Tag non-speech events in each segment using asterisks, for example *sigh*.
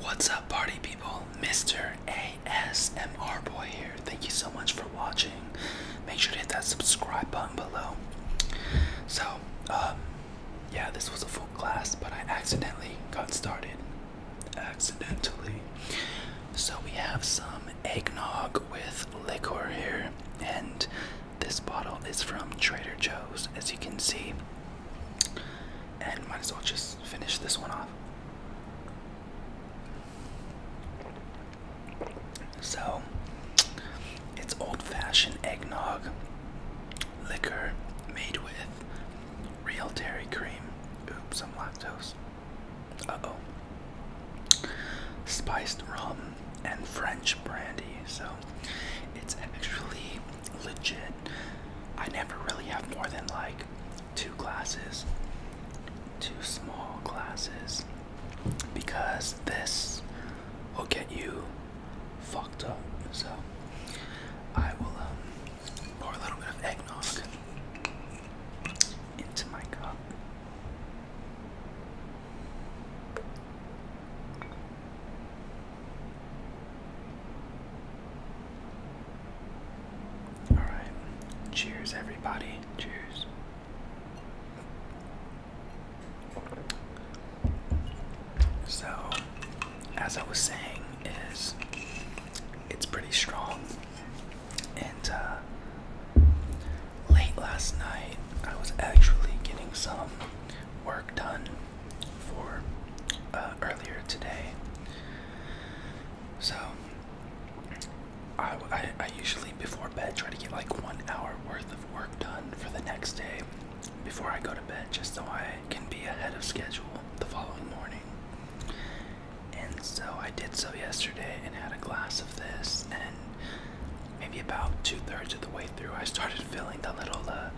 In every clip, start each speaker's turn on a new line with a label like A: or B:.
A: What's up, party people? Mr. ASMR Boy here. Thank you so much for watching. Make sure to hit that subscribe button below. So, um, yeah, this was a full class, but I accidentally got started. Accidentally. So, we have some eggnog with liquor here, and this bottle is from Trader Joe's, as you can see. And might as well just finish this one off. So, it's old fashioned eggnog liquor made with real dairy cream. Oops, i lactose. Uh oh. Spiced rum and French brandy. So, it's actually legit. I never really have more than like two classes, two small classes, because this will get you fucked up. So I will um, pour a little bit of eggnog into my cup. All right. Cheers, everybody. Cheers. So, as I was saying, is it's pretty strong. And uh, late last night, I was actually getting some work done for uh, earlier today. So I, I, usually before bed try to get like one hour worth of work done for the next day before I go to bed, just so I can be ahead of schedule the following morning. And so I did so yesterday and had a glass of this and maybe about two thirds of the way through I started *laughs* feeling the little uh,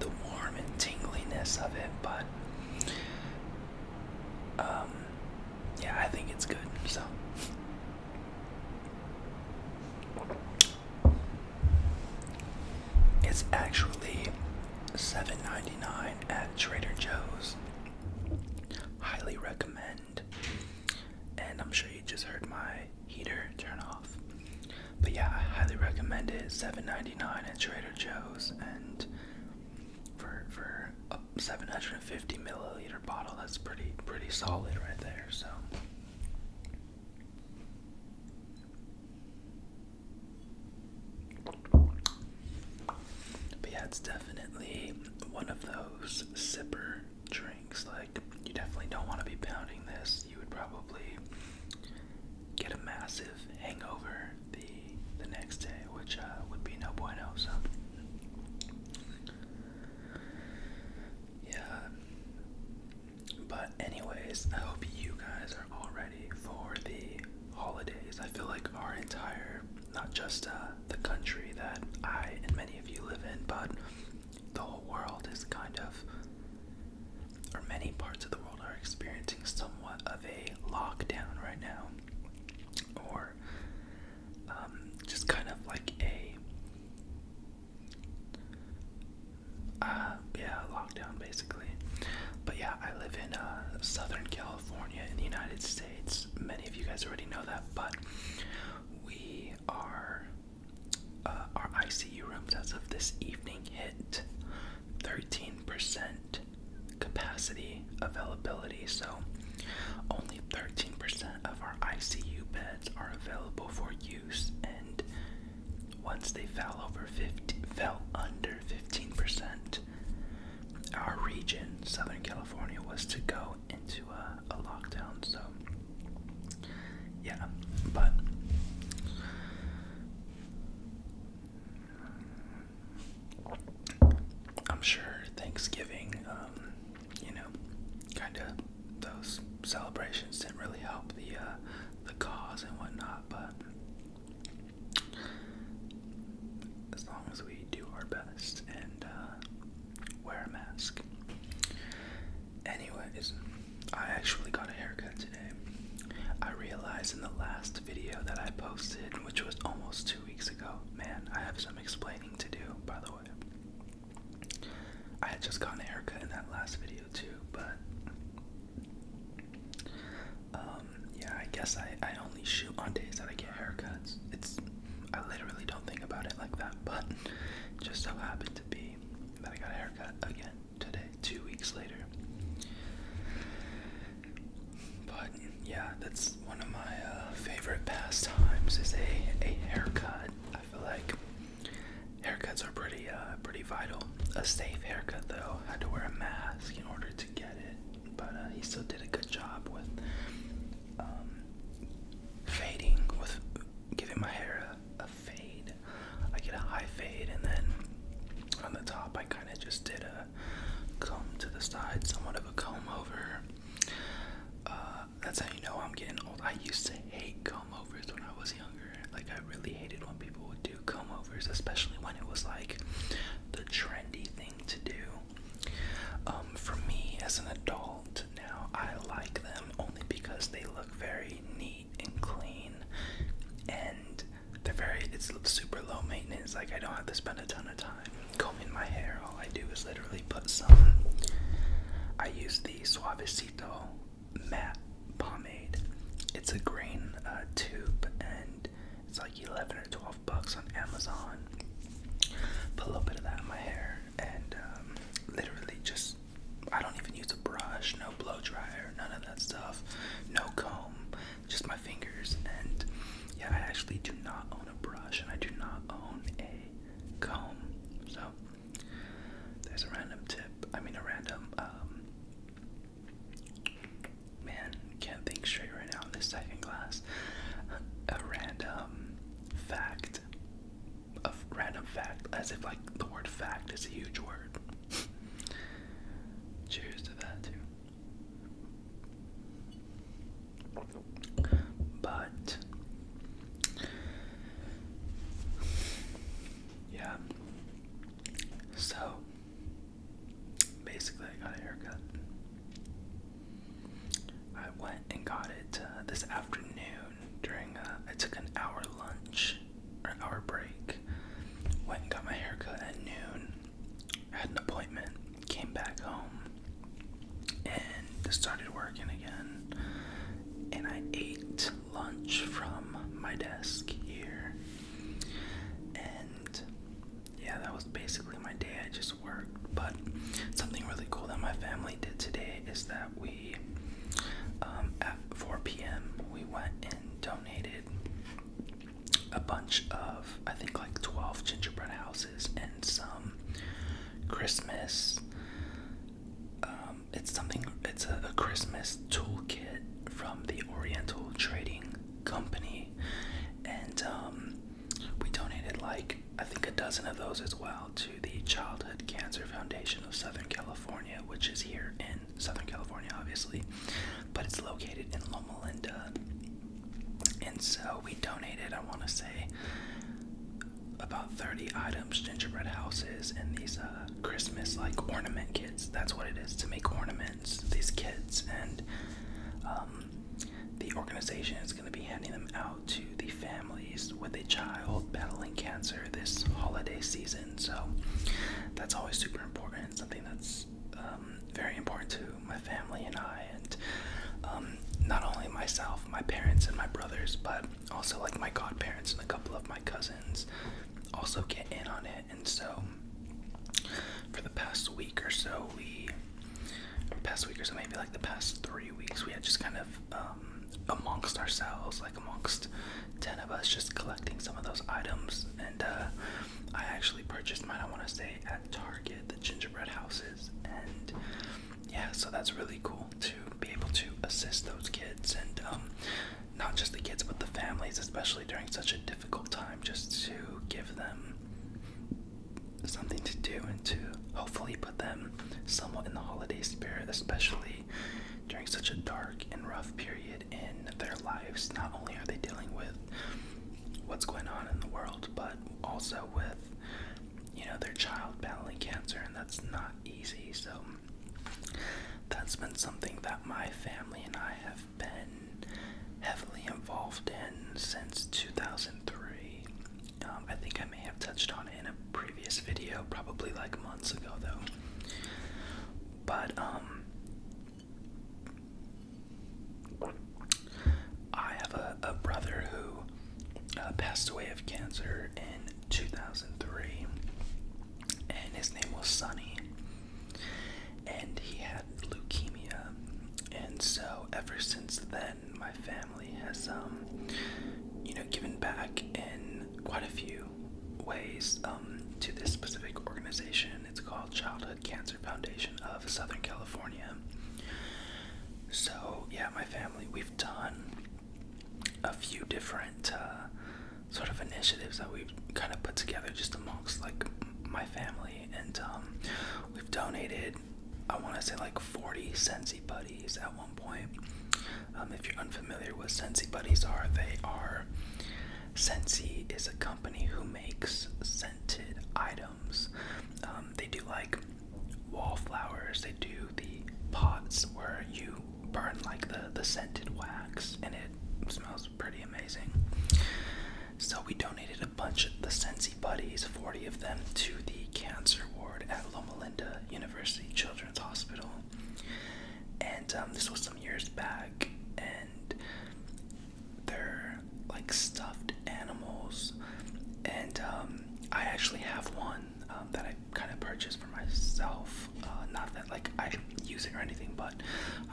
A: the warm and tingliness of it, but um, yeah, I think it's good. So, it's actually seven ninety nine at Trader Joe's. Highly recommend. And I'm sure you just heard my heater turn off. But yeah, I highly recommend it. Seven ninety nine at Trader Joe's, and for for a seven hundred and fifty milliliter bottle, that's pretty pretty solid right there. So. But yeah, it's definitely one of those zipper drinks. Like, you definitely don't want to be pounding this. You would probably get a massive hangover the the next day, which uh, would be no bueno. So yeah. But anyways, I hope you guys are all ready for the holidays. I feel like our entire, not just uh, the country that I and many of you live in, but the whole world is kind of or many parts of the world are experiencing somewhat of a lockdown right now, or um, just kind of like a uh, yeah lockdown basically. But yeah, I live in uh, Southern California in the United States. Many of you guys already know that, but we are uh, our ICU rooms as of this evening hit 13 15% capacity availability, so only 13% of our ICU beds are available for use, and once they fell over 50, fell under 15%, our region, Southern California, was to go into a lockdown. So, yeah, but
B: I'm sure Thanksgiving, um, you know, kind of those celebrations
A: didn't really help the uh, the cause and whatnot, but as long as we do our best and uh, wear a mask. Anyways, I actually got a haircut today. I realized in the last video that I posted, which was almost two weeks ago, man, I have some explaining to do, by the way. I had just gotten a haircut in that last video too, but um, yeah, I guess I, I only shoot on days that I get haircuts. It's I literally don't think about it like that, *laughs* but just so happened to be that I got a haircut again today, two weeks later. But yeah, that's one of my uh, favorite pastimes is a, a haircut.
B: I feel like haircuts are pretty uh, pretty vital. A safe haircut though,
A: I had to wear a mask in order to get it, but uh, he still did a good job with um, fading with giving my hair a, a fade. I get a high fade and then
B: on the top, I kind of just did a comb to the side, somewhat of a comb over. Uh, that's how you know I'm getting old. I used to hate comb overs when I was younger. Like, I really hated when people
A: would do comb overs, especially when it was like the trendy thing to do. Um, for me, as an adult now, I like them only because
B: they look very neat and clean and they're very it's
A: super low maintenance like i don't have to spend a ton of time combing my hair all i do is literally put some i use the suavecito matte pomade it's a green uh, tube and it's like 11 or 12 bucks on amazon put a little bit of that in my hair and um, literally just i don't even use a brush no blow dryer none of that stuff no comb just my fingers. And yeah, I actually do not own a brush and I do not own a comb. So there's a random tip. I mean, a random, um, man, can't think straight right now in this second class. A random fact. A random fact, as if like the word fact is a huge word. *laughs* Cheers to that, too. But yeah. So basically I got a haircut. I went and got it uh, this afternoon during uh, I took an hour lunch or hour break. Went and got my haircut at noon had an appointment, came back home, and started working again. And I ate lunch from my desk here. And yeah, that was basically my day. I just worked. But something really cool that my family did today is that we, um, at 4 p.m., we went and donated a bunch of I think like 12 gingerbread houses and some Christmas. Um, it's something. It's a, a Christmas toolkit from the Oriental Trading Company, and um, we donated like I think a dozen of those as well to the Childhood Cancer Foundation of Southern California, which is here in Southern California, obviously, but it's located in Loma Linda. And so we donated, I want to say, about 30 items, gingerbread houses, and these uh, Christmas like ornament kits. That's what it is to make ornaments, these kits. And um, the organization is going to be handing them out to the families with a child battling cancer this holiday season. So that's always super important something that's um, very important to my family and I, and um, not only myself, my parents, and my brothers, but also like my godparents and a couple of my cousins also get in on it. And so, for the past week or so, we, the past week or so, maybe like the past three weeks, we had just kind of um, amongst ourselves, like amongst 10 of us, just collecting some of those items and uh, I actually purchased mine, I want to say, at Target, the gingerbread houses. And yeah, so that's really cool to be able to assist those kids and um, not just the kids, but the families, especially during such a difficult time, just to give them something to do and to hopefully put them somewhat in the holiday spirit, especially during such a dark and rough period in their lives. Not only are they dealing with what's going on in the world, but also with you know their child battling cancer, and that's not easy. So that's been something that my family and I have been heavily involved in since 2003. Um, I think I may have touched on it in a previous video, probably like months ago though. But um, I have a, brother who uh, passed away of cancer in 2003, and his name was Sunny, And he had leukemia, and so ever since then, my family has, um, you know, given back in quite a few ways um, to this specific organization it's called Childhood Cancer Foundation of Southern California. So, yeah, my family, we've done a few different uh, sort of initiatives that we've kind of put together just amongst like my family, and um, we've donated, I want to say, like 40 Sensi Buddies at one point. Um, if you're unfamiliar with Sensi Buddies are, they are Sensi is a company who makes sen items. Um, they do like wallflowers. They do the pots where you burn like the the scented wax, and it smells pretty amazing. So we donated a bunch of the Sensi Buddies, 40 of them, to the cancer ward at Loma Linda University Children's Hospital. And um, this was some years back, and they're like stuffed animals, and um, I actually have one um, that I kind of purchased for myself. Uh, not that like I use it or anything, but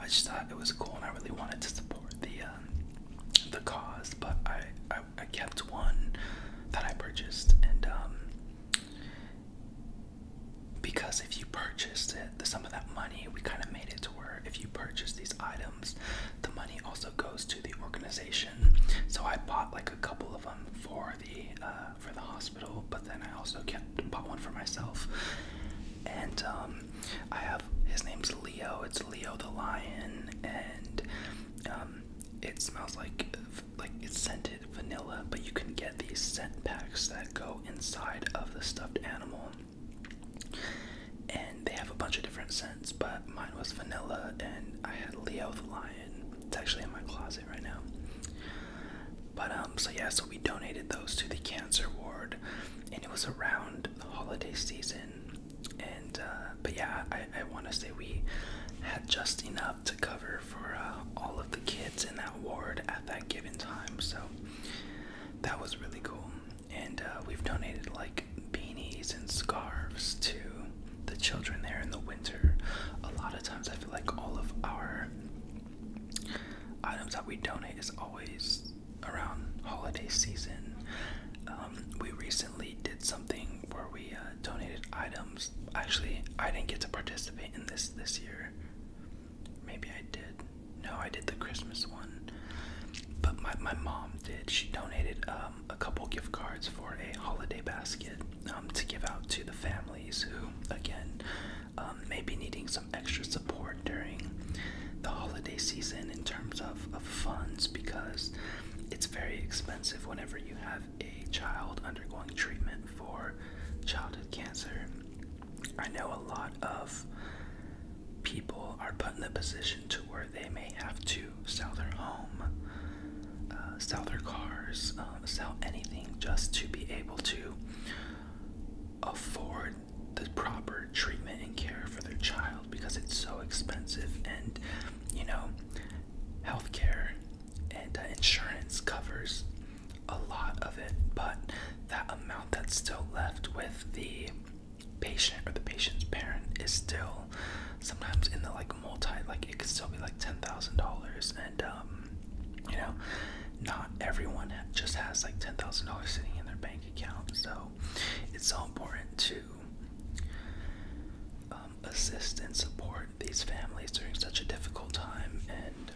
A: I just thought it was cool, and I really wanted to support the um, the cause. But I, I I kept one that I purchased, and um, because if you purchased it, some of that money we kind of made it to where if you purchase these items, the money also goes to the organization. So I bought like a couple of them for the uh, for the hospital, but then I also bought one for myself. And um, I have his name's Leo. It's Leo the lion, and um, it smells like like scented vanilla. But you can get these scent packs that go inside of the stuffed animal. And they have a bunch of different scents, but mine was vanilla, and I had Leo the Lion. It's actually in my closet right now. But um, so yeah, so we donated those to the cancer ward, and it was around the holiday season. And uh, but yeah, I, I want to say we had just enough to cover for uh, all of the kids in that ward at that given time. So that was really cool and uh, we've donated like beanies and scarves to the children there in the winter. A lot of times, I feel like all of our items that we donate is always around holiday season. Um, we recently did something where we uh, donated items. Actually, I didn't get to participate in this this year. Maybe I did. No, I did the Christmas one, but my my mom did. She donated um, a couple gift cards for a holiday basket um, to give out to the families who, again, um, may be needing some extra support during the holiday season in terms of, of funds because it's very expensive whenever you have a child undergoing treatment for childhood cancer. I know a lot of people are put in a position to where they may have to sell their home, uh, sell their cars, um, sell anything just to be able to afford the proper treatment and care for their child because it's so expensive and
B: you know healthcare and uh, insurance covers a lot of it but that amount that's still left with the patient or the patient's parent is still
A: sometimes in the like multi like it could still be like ten thousand dollars and um you know not everyone just has like ten thousand dollars sitting in their bank account so it's so important to um, assist and support these families during such a difficult time and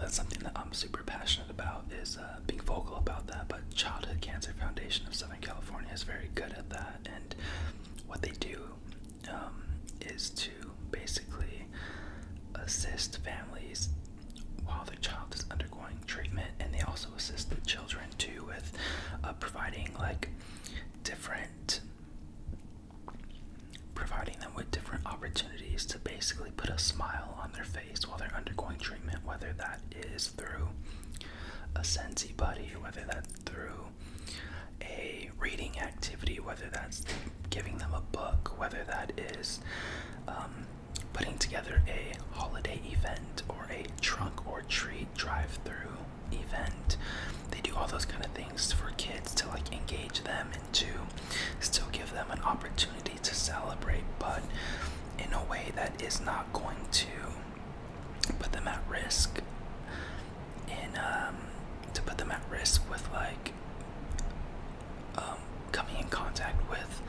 A: that's something that I'm super passionate about is uh, uh, being vocal about that, but Childhood Cancer Foundation of Southern California is very good at that. And what they do um, is to basically assist families while their child is undergoing treatment, and they also assist the children too with uh, providing like different providing them with different opportunities to basically put a smile on their while they're undergoing treatment, whether that is through a sensory buddy, whether that's through a reading activity, whether that's giving them a book, whether that is um, putting together a holiday event or a trunk or treat drive-through event. They do all those kind of things for kids to like engage them and to still give them an opportunity to celebrate, but in a way that is not going to put them at risk. And um, to put them at risk with like um, coming in contact with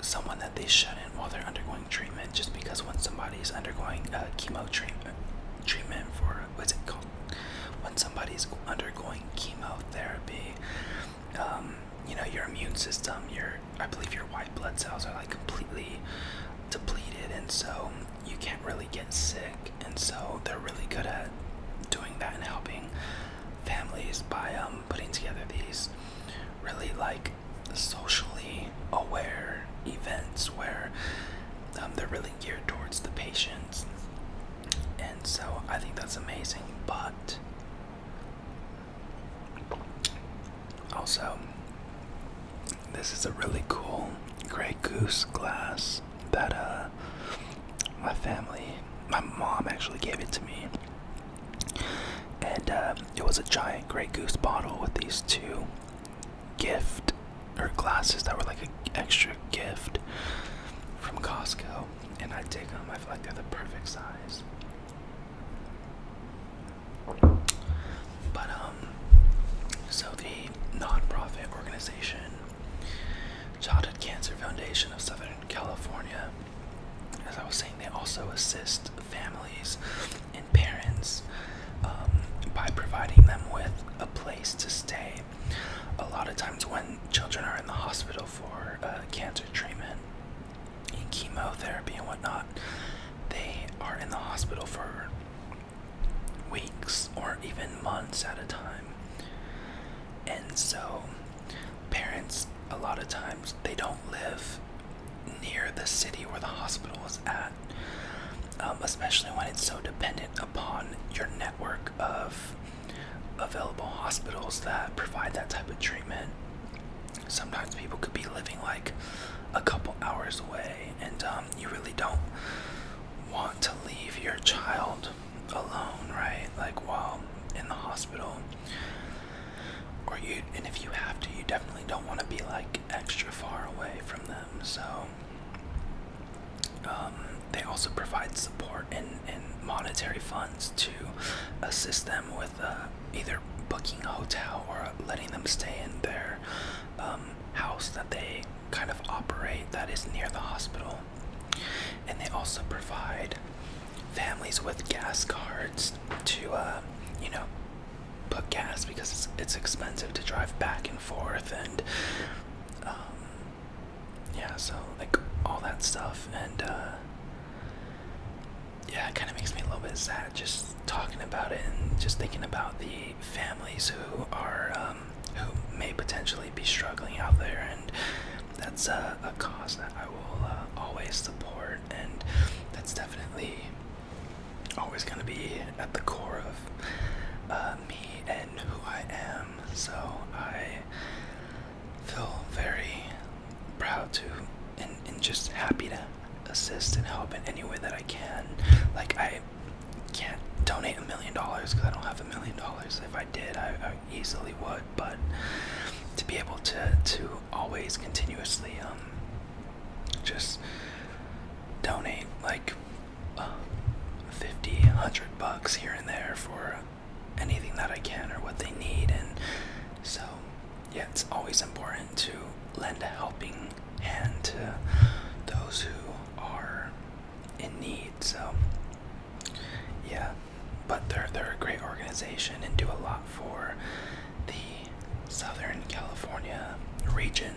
A: someone that they shouldn't while they're undergoing treatment, just because when somebody's undergoing uh, chemo treatment, treatment for what's it called? When somebody's undergoing chemotherapy, um, you know your immune system your i believe your white blood cells are like completely depleted and so you can't really get sick and so they're really good at doing that and helping families by um, putting together these really like socially aware events where um, they're really geared towards the patients and so i think that's amazing but also, this is a really cool
B: gray goose glass that uh, my family, my mom actually gave it to me.
A: And uh, it was a giant gray goose bottle with these two gift or glasses that were like an extra gift from Costco and I take them. I feel like they're the perfect size. But um, so the nonprofit organization Childhood Cancer Foundation of Southern California, as I was saying, they also assist families and parents um, by providing them with a place to stay. A lot of times when children are in the hospital for uh, cancer treatment, in chemotherapy and whatnot, they are in the hospital for weeks or even months at a time.
B: And so, parents, a lot of times, they don't live
A: near the city where the hospital is at, um, especially when it's so dependent upon your network of available hospitals that provide that type of treatment. Sometimes people could be living like a couple hours away, and um, you really don't want to leave your child alone, right? Like while in the hospital, or you, and if you have to, you definitely don't want to be like extra far away from them. So, um, they also provide support and, and monetary funds to assist them with. Uh, either booking a hotel or letting them stay in their um, house that they kind of operate that is near the hospital. And they also provide families with gas cards to, uh, you know, put gas because it's, it's expensive to drive back and forth and um, yeah so like all that stuff and uh, yeah, it kind of makes me a little bit sad just talking about it and just thinking about the families who are um, who may potentially be struggling out there, and that's a cause that I will uh, always support, and that's definitely always going to be at the core of uh, me and who I am. So I feel very proud to and, and just happy to assist and help in any way that I can. Like I can't donate a million dollars because I don't have a million dollars. If I did, I, I easily would. But to be able to to always continuously um just donate like uh, 50, 100 bucks here and there for anything that I can or what they need. And so, yeah, it's always important to lend a helping hand to those who are in need. So, yeah, but they're, they're a great organization and do a lot for the Southern California region.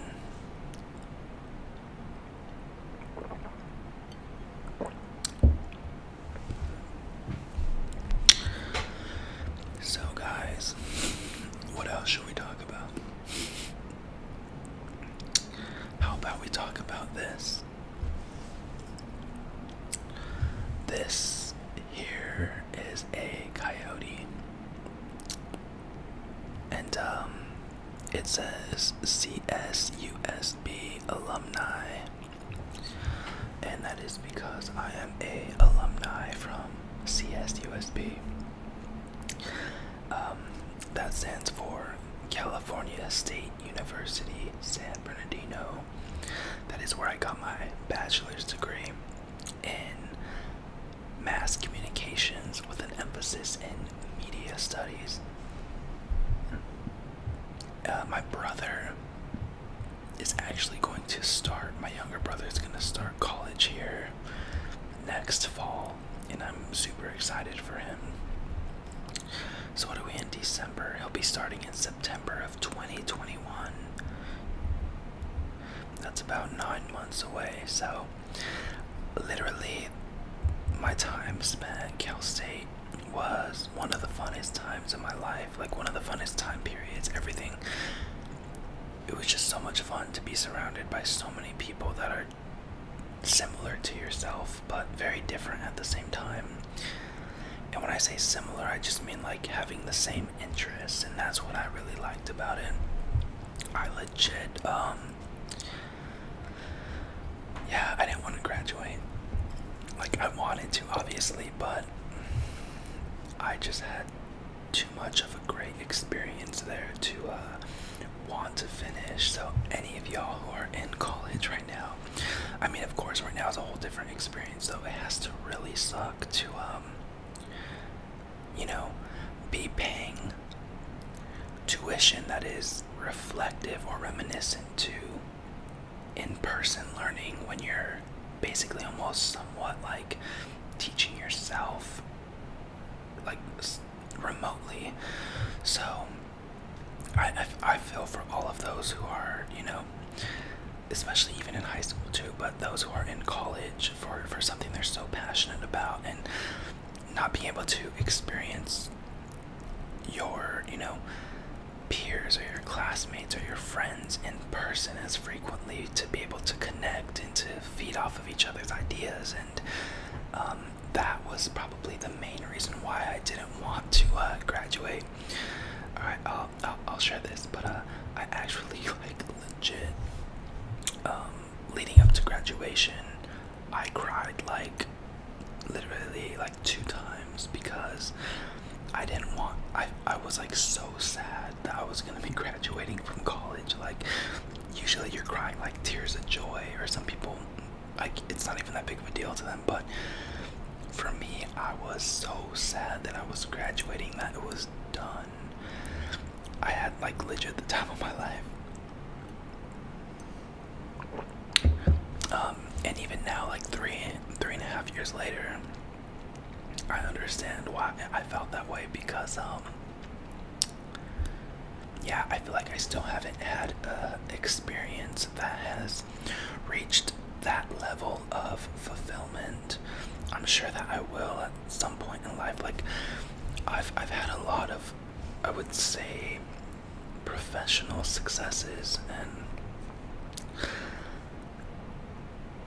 A: So, guys, what else should we talk about? How about we talk about this? This here is a coyote, and um, it says CSUSB alumni and that is because I am a alumni from CSUSB.
B: Um, that stands for California State University San Bernardino. That is where I got my
A: bachelor's degree in mass communications with an emphasis in media studies. Uh, my brother is actually going to start. My younger brother is going to start college here next fall, and I'm super excited for him. So, what are we in December? He'll be starting in September of 2021. That's about nine months away. So, literally, my time spent at Cal State was one of the funnest times in my life, like one of the funnest time periods, everything. It was just so much fun to be surrounded by so many people that are similar to yourself, but very different at the same time. And when I say similar, I just mean like having the same interests, and that's what I really liked about it. I legit, um, yeah, I didn't want to graduate. Like, I wanted to, obviously, but I just had too much of a great experience there to uh, want to finish. So, any of y'all who are in college right now, I mean, of course, right now is a whole different experience, so it has to really suck to, um, you know, be paying tuition that is reflective or reminiscent to in-person learning when you're basically almost somewhat like teaching yourself like remotely so I, I, feel for all of those who are you know especially even in high school too but those who are in college for for something they're so passionate about and not being able to
B: experience your you know peers or your classmates
A: or your friends in person as frequently to be able to connect and to feed off of each other's ideas and um, that was probably the main reason why I didn't want to uh, graduate. Alright, I'll, I'll, share this, but uh, I actually, *laughs* like, legit, um, leading up to graduation, I cried, like, literally, like, two times because I didn't want I I was like so sad that I was gonna be *laughs* graduating from college. Like usually you're crying like tears of joy or some people like it's not even that big of a deal to them, but for me I was so sad that I was graduating that it was done. I had like legit the time of my life. Um, and even now, like three, three and a half years later, I understand why I felt that way because, um, yeah, I feel like I still haven't had an experience that has reached that level of fulfillment. I'm sure that I will at some point in life. Like, I've, I've had a lot of, I would say, professional successes and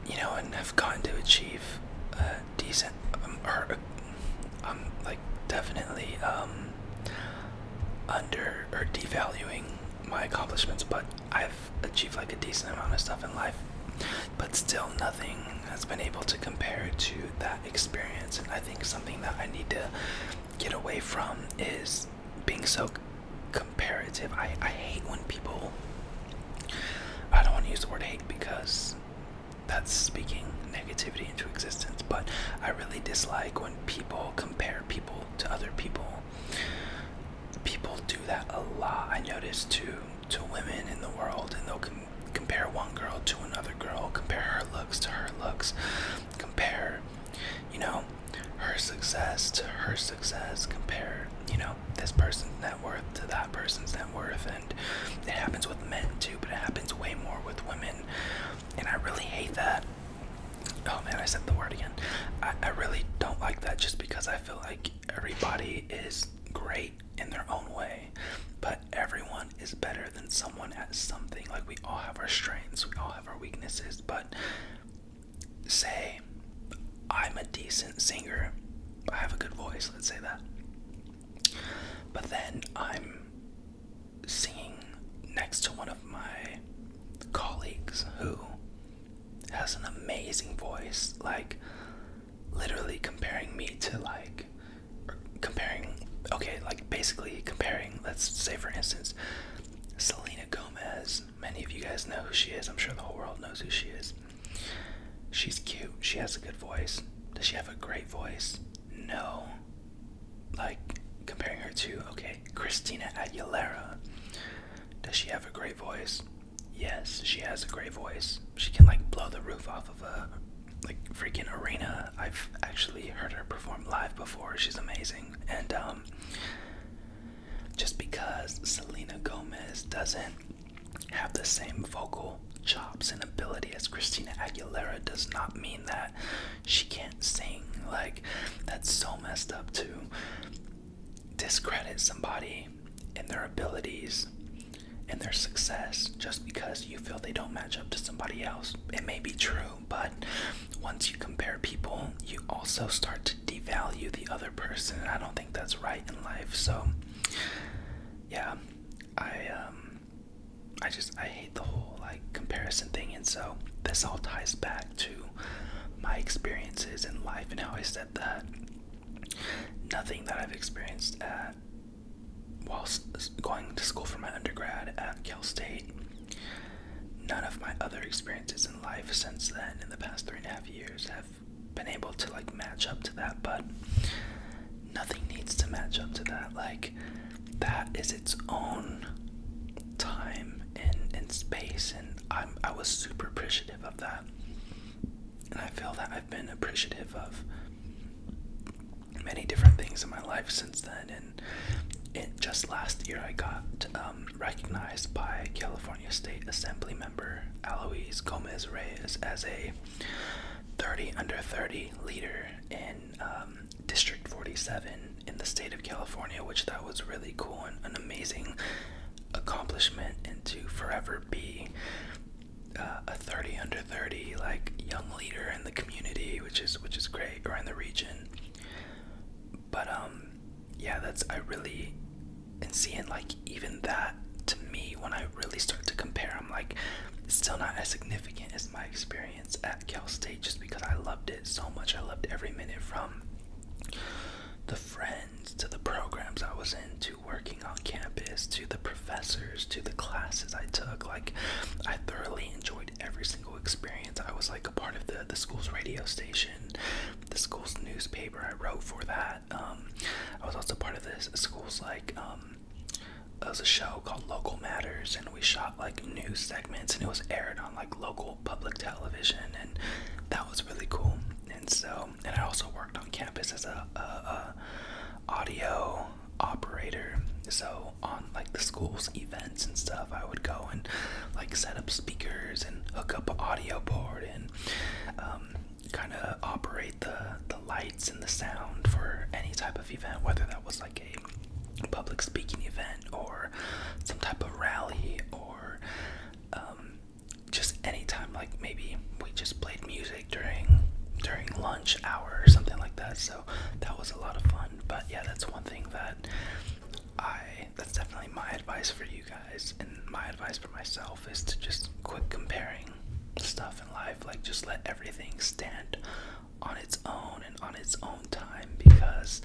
A: you know, and have gotten to achieve a decent, um, or I'm uh, um, like definitely um, under or devaluing my accomplishments, but I've achieved like a decent amount of stuff in life, but still nothing has been able to compare to that experience. And I think something that I need to get away from is being so comparative. I, I hate when people. I don't want to use the word hate because that's speaking
B: negativity into existence, but I really dislike when people compare people
A: to other people. People do that a lot. I notice too to women in the world, and they'll compare one
B: girl to another girl, compare her looks to her looks, compare, you know, her success to her success,
A: compare, you know, this person's net worth to that person's net worth. And it happens with men too, but it happens way more with women. And I really hate that. Oh man, I said the word again. I, I really don't like that just because I feel like everybody is great in their own way, but everyone is better than someone at something. Like, we all have our strengths, we all have our weaknesses, but say I'm a decent singer. I have a good voice, let's say that. But then I'm singing next to one of my colleagues who has an amazing voice, like literally comparing me to like comparing okay, like basically comparing, let's say for instance, Selena Gomez Many of you guys know who she is. I'm sure the whole world knows who she is. She's cute. She has a good voice. Does she have a great voice? No. Like, comparing her to, okay, Christina Aguilera. Does she have a great voice? Yes, she has a great voice. She can, like, blow the roof off of a, like, freaking arena. I've actually heard her perform live before. She's amazing. And, um, just because Selena Gomez doesn't have the same vocal chops and ability as Christina Aguilera does not mean that she can't sing. Like, that's so messed up to discredit somebody and their abilities and their success just because you feel they don't match up to somebody else. It may be true, but once you compare people, you also start to devalue the other person. I don't think that's right in life. So, yeah, I um, I just I hate the whole like comparison thing, and so this all ties back to my experiences in life and how I said that nothing that I've experienced at whilst going to school for my undergrad at Cal
B: State. None of my other experiences in life since then, in the past three and a half years, have been able to like match up to that, but nothing
A: needs to match up to that. Like that is its own time and, and space and I'm I was super appreciative of that. And I feel that I've been appreciative of many different things in my life since then and it just last year I got um recognized by California State Assembly member Alois Gomez Reyes as a 30 under 30 leader in um, District 47 in the state of California, which that was really cool and an amazing accomplishment, and to forever be uh, a 30 under 30 like young leader in the community, which is which is great, or in the region. But um, yeah, that's I really and seeing like even that to me when I really start to compare, I'm like still not as significant as my experience at Cal State just because I loved it so much. I loved every minute from the friends to the programs I was into, working on campus to the professors to the classes I took. Like I thoroughly enjoyed every single experience. I was like a part of the the school's radio station, the school's newspaper. I wrote for that that. Um, I was also part of this school's like um, it was a show called Local Matters, and we shot like news segments, and it was aired on like local public television, and that was really cool. And so, and I also worked on campus as a, a, a audio operator. So on like the school's events and stuff, I would go and like set up speakers and hook up an audio board and um, kind of operate the the lights and the sound for any type of event, whether that was like a public speaking event or some type of rally or um, just anytime. Like maybe we just played music during during lunch hour or something like that. So that was a lot of fun. But yeah, that's one thing that I that's definitely my advice for you guys, and my advice for myself is to just quit comparing stuff in life. Like, just let everything stand on its own and on its own time because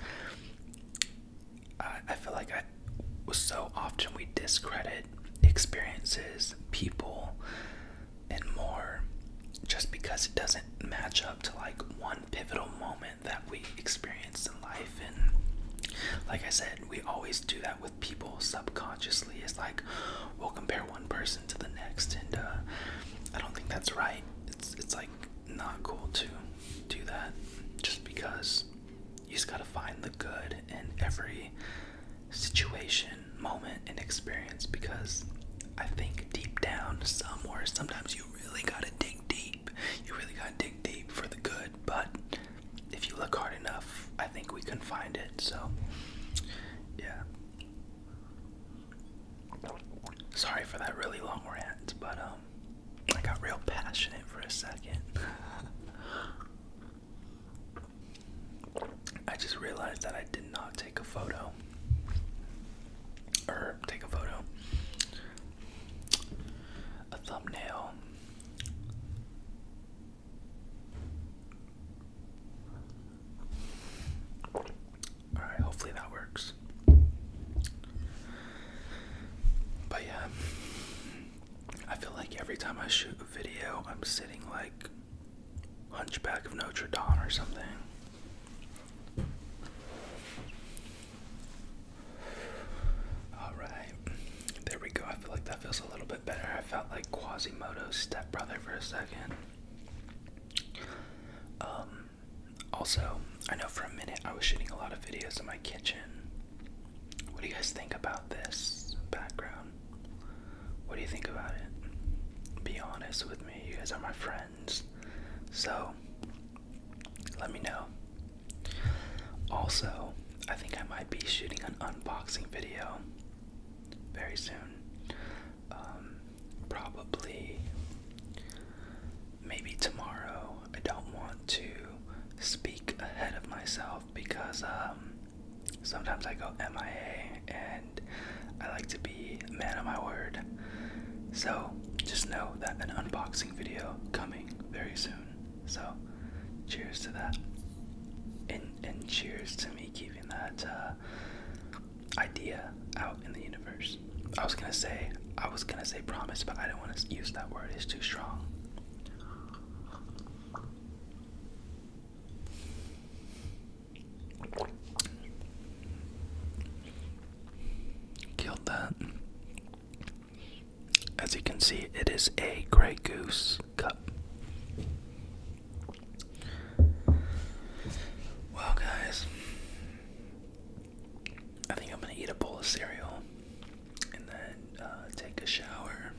A: I, feel like I so often we discredit experiences, people, and more just because it doesn't match up to like one pivotal moment that we experienced in life and like i said we always do that with people subconsciously is like we'll compare one person to the next and uh I don't think that's right. It's it's like not cool to do that just because you just gotta find the good in every situation, moment, and experience because I think deep down somewhere sometimes you really gotta dig deep. You really gotta dig deep for the good but if you look hard enough, I think we can find it. So, yeah. Sorry for that really long rant, but um, I got real passionate for a second. *laughs* I just realized that I did not take a photo. Or take a photo. A thumbnail. All right, hopefully that works. But yeah, I feel like every time I shoot a video, I'm sitting like Hunchback of Notre Dame or something. All right. There we go. I feel like that feels a little bit better. I felt like Quasimodo's stepbrother for a second. Um, also, I know for a minute I was shooting a lot of videos in my kitchen. What do you guys think about this background? What do you think about it? Be honest with me. You guys are my friends. So, let me know. Also, I think I might be shooting an unboxing video very soon. Um, probably maybe tomorrow. I don't want to speak ahead of myself because um, sometimes I go MIA and I like to be a man of my word. So just know that an unboxing video coming very soon. So, cheers to that, and and cheers to me keeping that uh, idea out in the universe. I was gonna say I was gonna say promise, but I don't want to use that word. It's too strong. Killed that. As you can see, it is a Grey Goose cup. Well, guys, I think I'm gonna eat a bowl of cereal and then uh, take a shower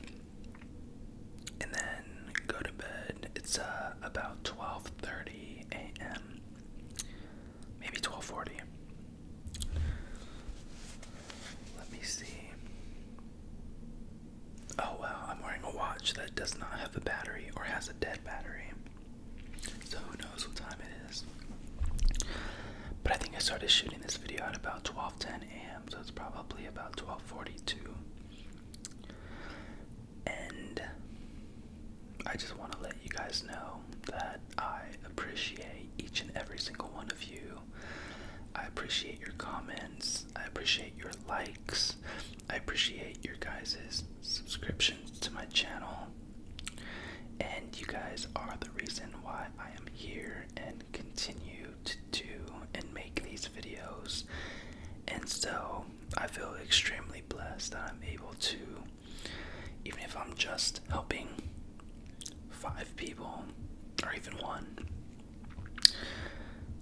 A: and then go to bed. It's uh, about 12:30 a.m. Maybe 12:40. Let me see. Oh well, I'm wearing a watch that does not have a battery or has a dead battery. So who knows what time it is. But I think I started shooting this video at about 12:10 a.m. So it's probably about 12:42.
B: And I just want to let you guys know that I
A: appreciate each and every single one of you I appreciate your comments. I appreciate your likes. I appreciate your guys' subscriptions to my channel. And you guys are the reason why I am here and continue to do and make these videos. And so I feel extremely blessed that I'm able to, even if I'm just helping five people or even one,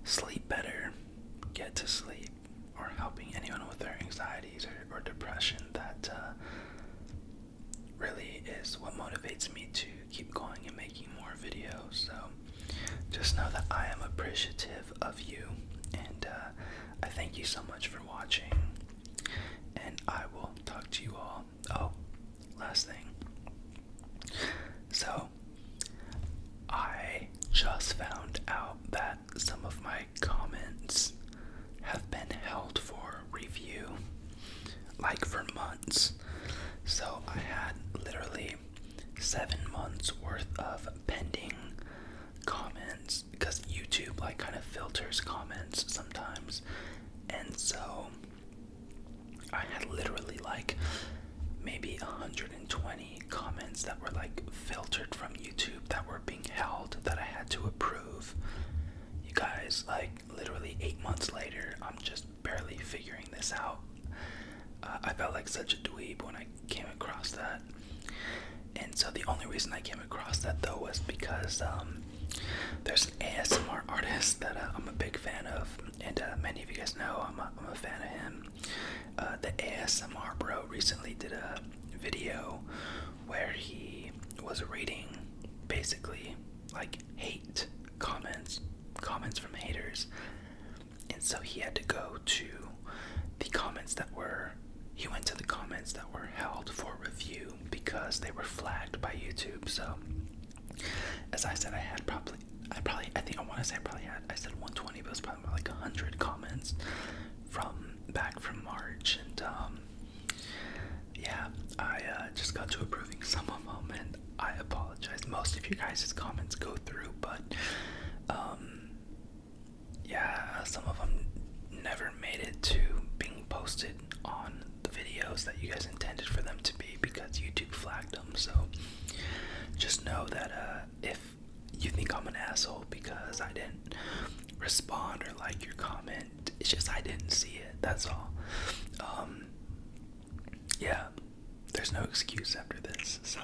A: sleep better, get to sleep, or helping anyone with their anxieties or, depression that uh, really is what motivates me to keep going and making more videos. So just know that I am appreciative of you and uh, I thank you so much for watching. And I will talk to you all Oh, last thing. So, I just found out that some of my comments have been held for review like for months. So, I had literally seven months worth of pending comments because YouTube like kind of filters comments sometimes. And so I had literally like maybe 120 comments that were like filtered from YouTube that were being held that I had to approve. You guys, like literally eight months later, I'm just barely figuring this out. Uh, I felt like such a dweeb when I came across that. And so the only reason I came across that though was because um, there's an ASMR artist that uh, I'm a big fan of and uh, many of you guys know I'm a fan of him. Uh, the ASMR bro recently did a video where he was reading basically like hate comments, comments from haters, and so he had to go to the comments that were. He went to the comments that were held for review because they were flagged by YouTube. So as I said, I had probably, I probably, I think I want to say I probably had, I said 120, but it was probably more like 100 comments from back from March. And um, yeah, I uh, just got to approving some of them, and I apologize. Most of you guys' comments go through, but um, yeah, some of them never made it to being posted on the videos that you guys intended for them to be because YouTube flagged so just know that uh, if you think I'm an asshole because I didn't respond or like your comment, it's just I didn't see it. That's all. Um, yeah, there's no excuse after this. So,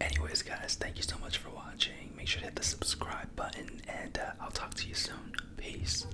A: anyways, guys, thank you so much for watching. Make sure to hit the subscribe button, and uh, I'll talk to you soon. Peace.